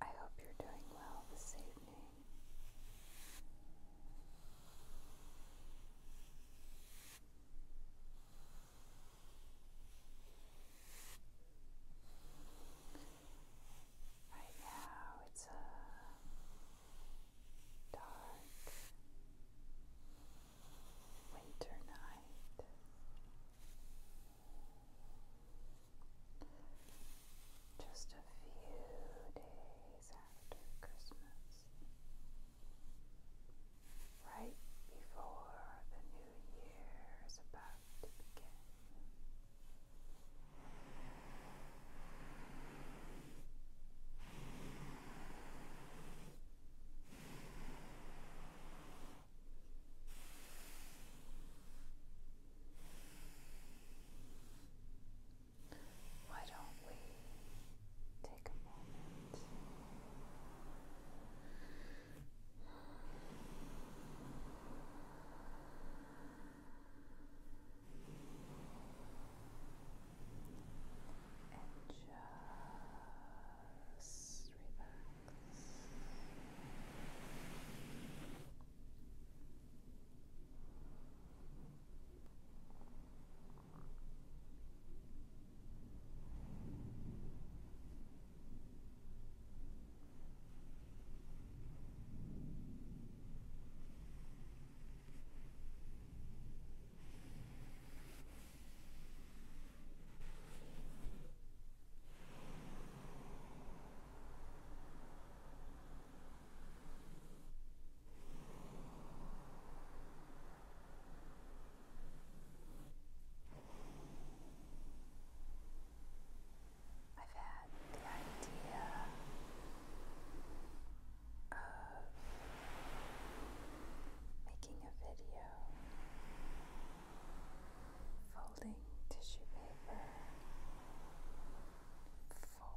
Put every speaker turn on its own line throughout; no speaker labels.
I hope you're doing well this evening. Right now it's a uh, dark winter night. Just a few days after Christmas, right before the new year is about to begin. Why don't we take a moment? And just relax. I've had the idea of making a video, folding tissue paper for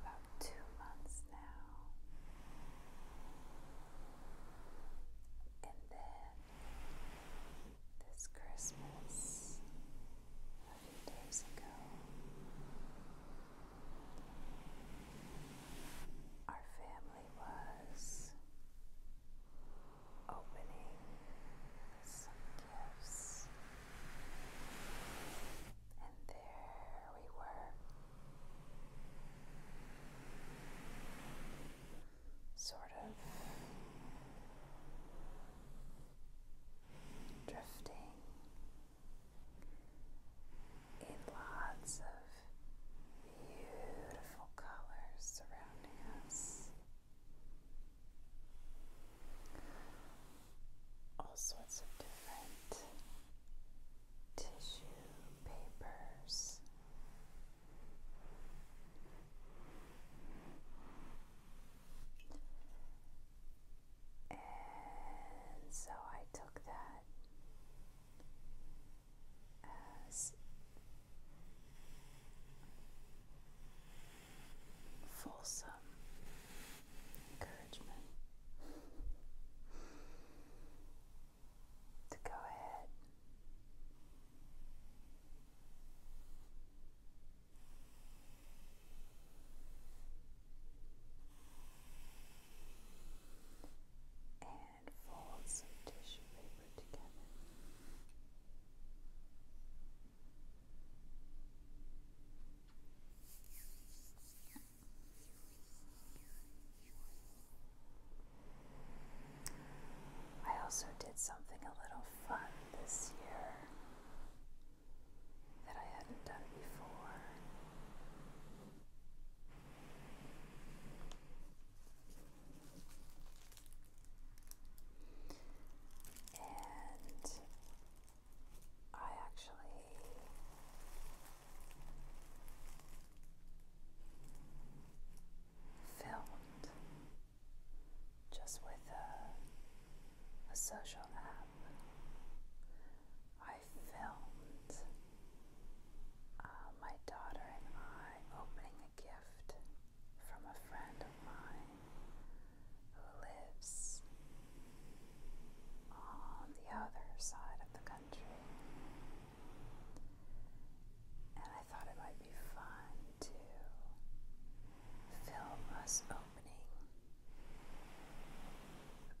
about two months now. And then this Christmas, a few days ago, our family was opening some gifts, and there we were. Sort of drifting in lots of beautiful colors surrounding us. All sorts of different tissue papers. And so I took that as fulsome encouragement to go ahead and fold some tissue paper together. I also did something a little fun this year that I hadn't done before. And I actually filmed just with a, a social app. I filmed uh, my daughter and I opening a gift from a friend of mine who lives on the other side of the country. And I thought it might be fun to film us opening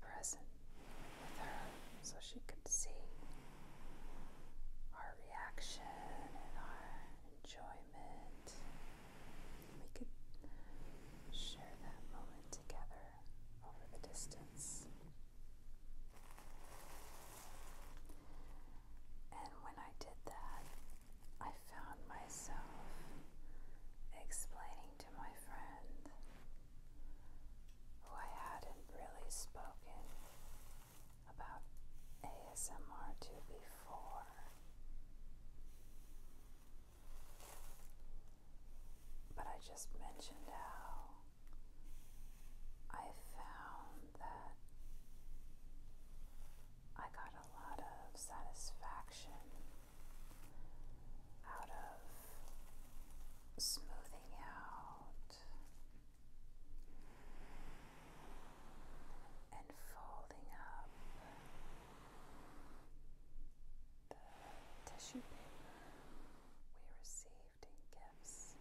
present with her so she could see our reaction and our enjoyment. We could share that moment together over the distance. And when I did that, I found myself explaining to my friend who I hadn't really spoken about ASMR to before. But I just mentioned how I found that I got a lot of satisfaction out of smoothing out and folding up the tissue paper we received in gifts.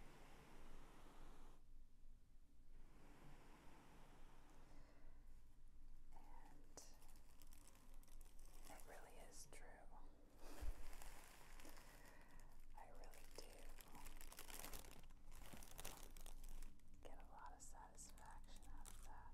And it really is true I really do get a lot of satisfaction out of that.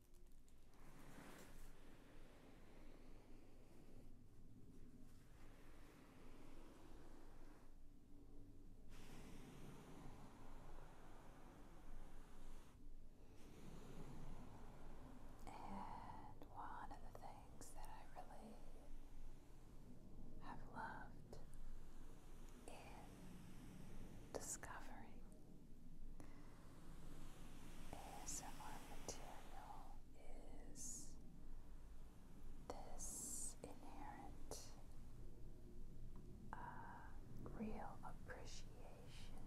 And one of the things that I really have loved in discovering ASMR material is this inherent uh, real appreciation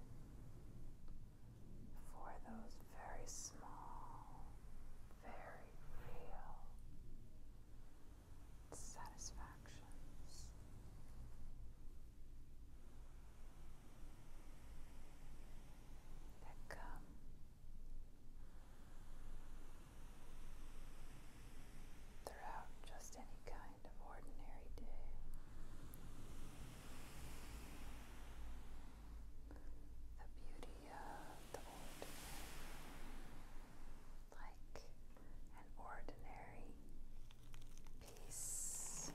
for those very small, very real satisfactions that come throughout just any kind of ordinary day. The beauty of the ordinary, like an ordinary piece of tissue paper.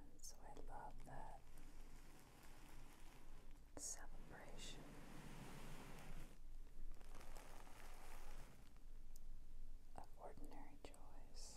And so I love that celebration. Of ordinary joys.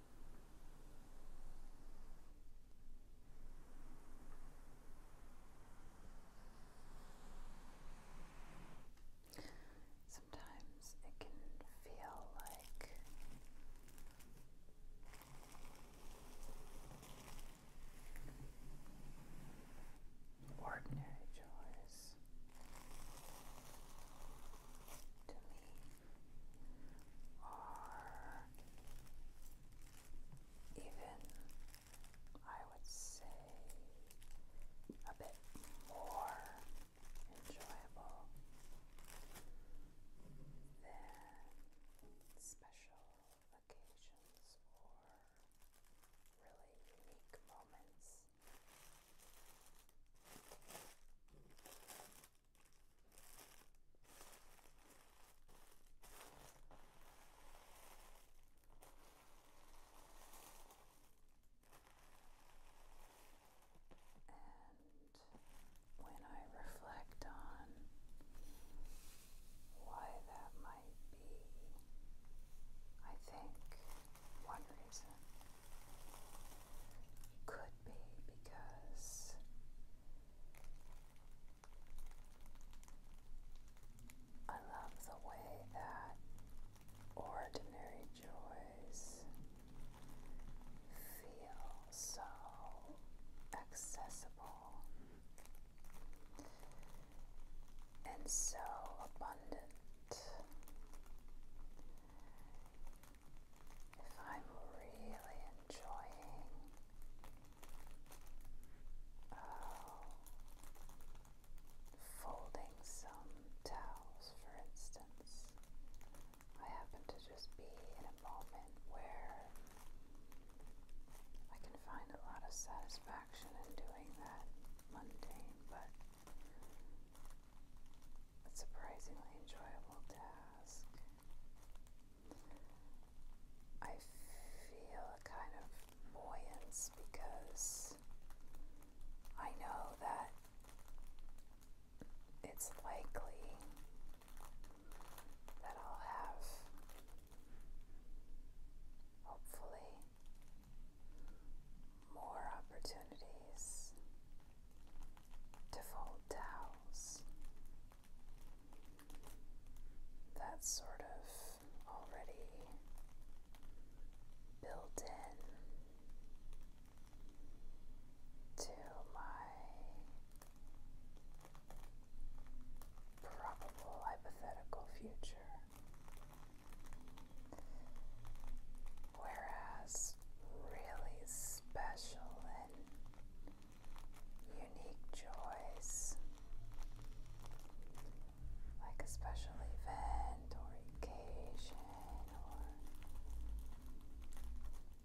Sometimes it can feel like ordinary chores to me or even I would say a bit more enjoyable than special occasions or really unique moments. And when I reflect on why that might be, I think one reason could be because I love the way that ordinary joys feel so accessible and so abundant if I'm really enjoying oh, folding some towels, for instance, I happen to just be in a moment where I can find a lot of satisfaction in doing that mundane but a surprisingly enjoyable task. I feel a kind of buoyance because I know that it's likely that I'll have, hopefully, more opportunities to fold towels. That's sort of already built in to my probable hypothetical future. Whereas really special unique joys, like a special event or occasion or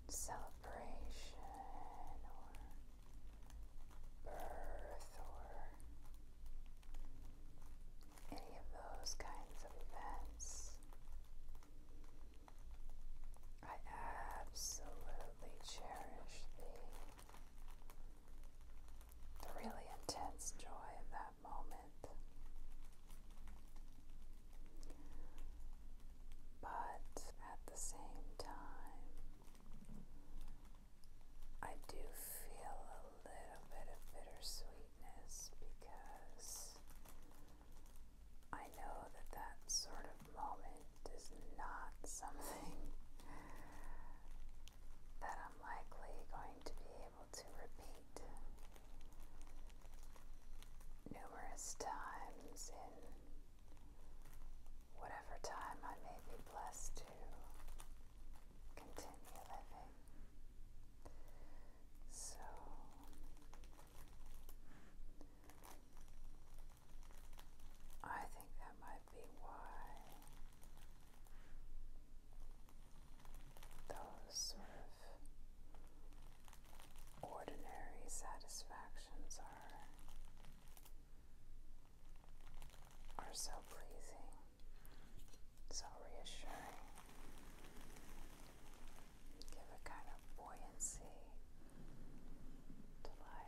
celebration or birth or any of those kinds of events. I absolutely cherish the, the really intense joy of that moment. But at the same time, I do feel a little bit of bittersweetness because I know that that sort of moment is not something that I'm likely going to be able to repeat numerous times in whatever time I may be blessed to continue living. So I think that might be why those sort of ordinary satisfactions are are so pleasing, so reassuring give a kind of buoyancy to life.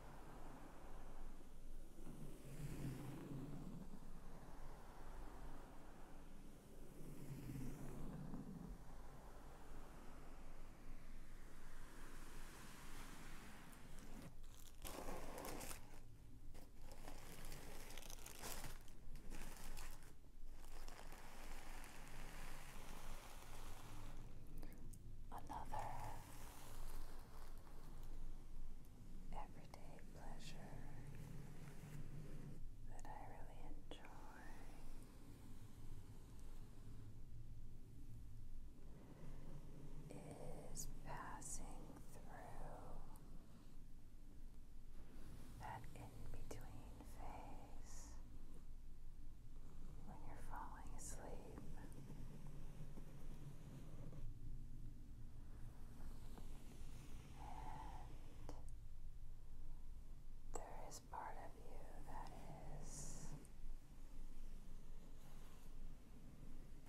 Another everyday pleasure that I really enjoy. Is passing through that in between phase when you're falling asleep and there is part of you that is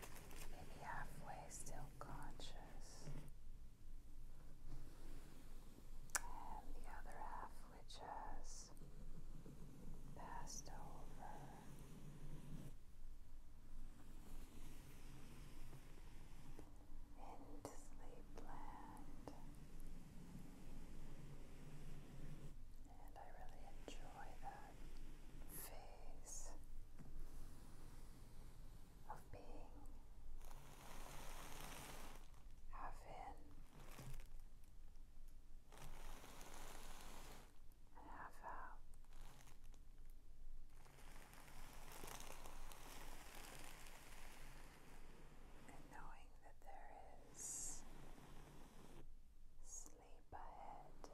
maybe halfway still conscious, and the other half which has passed over into Sleepland, and I really enjoy that phase of being half and half And knowing that there is sleep ahead.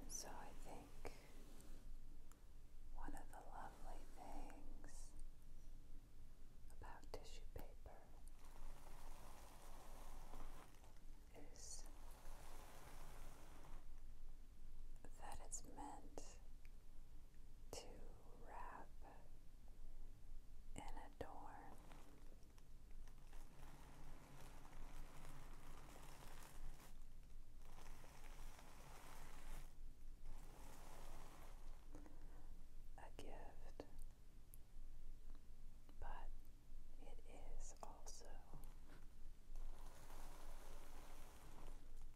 And so I think one of the lovely things about tissue paper is that it's meant to wrap and adorn. A gift, but it is also a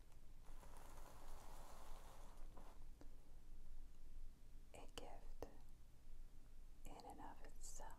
gift in and of itself.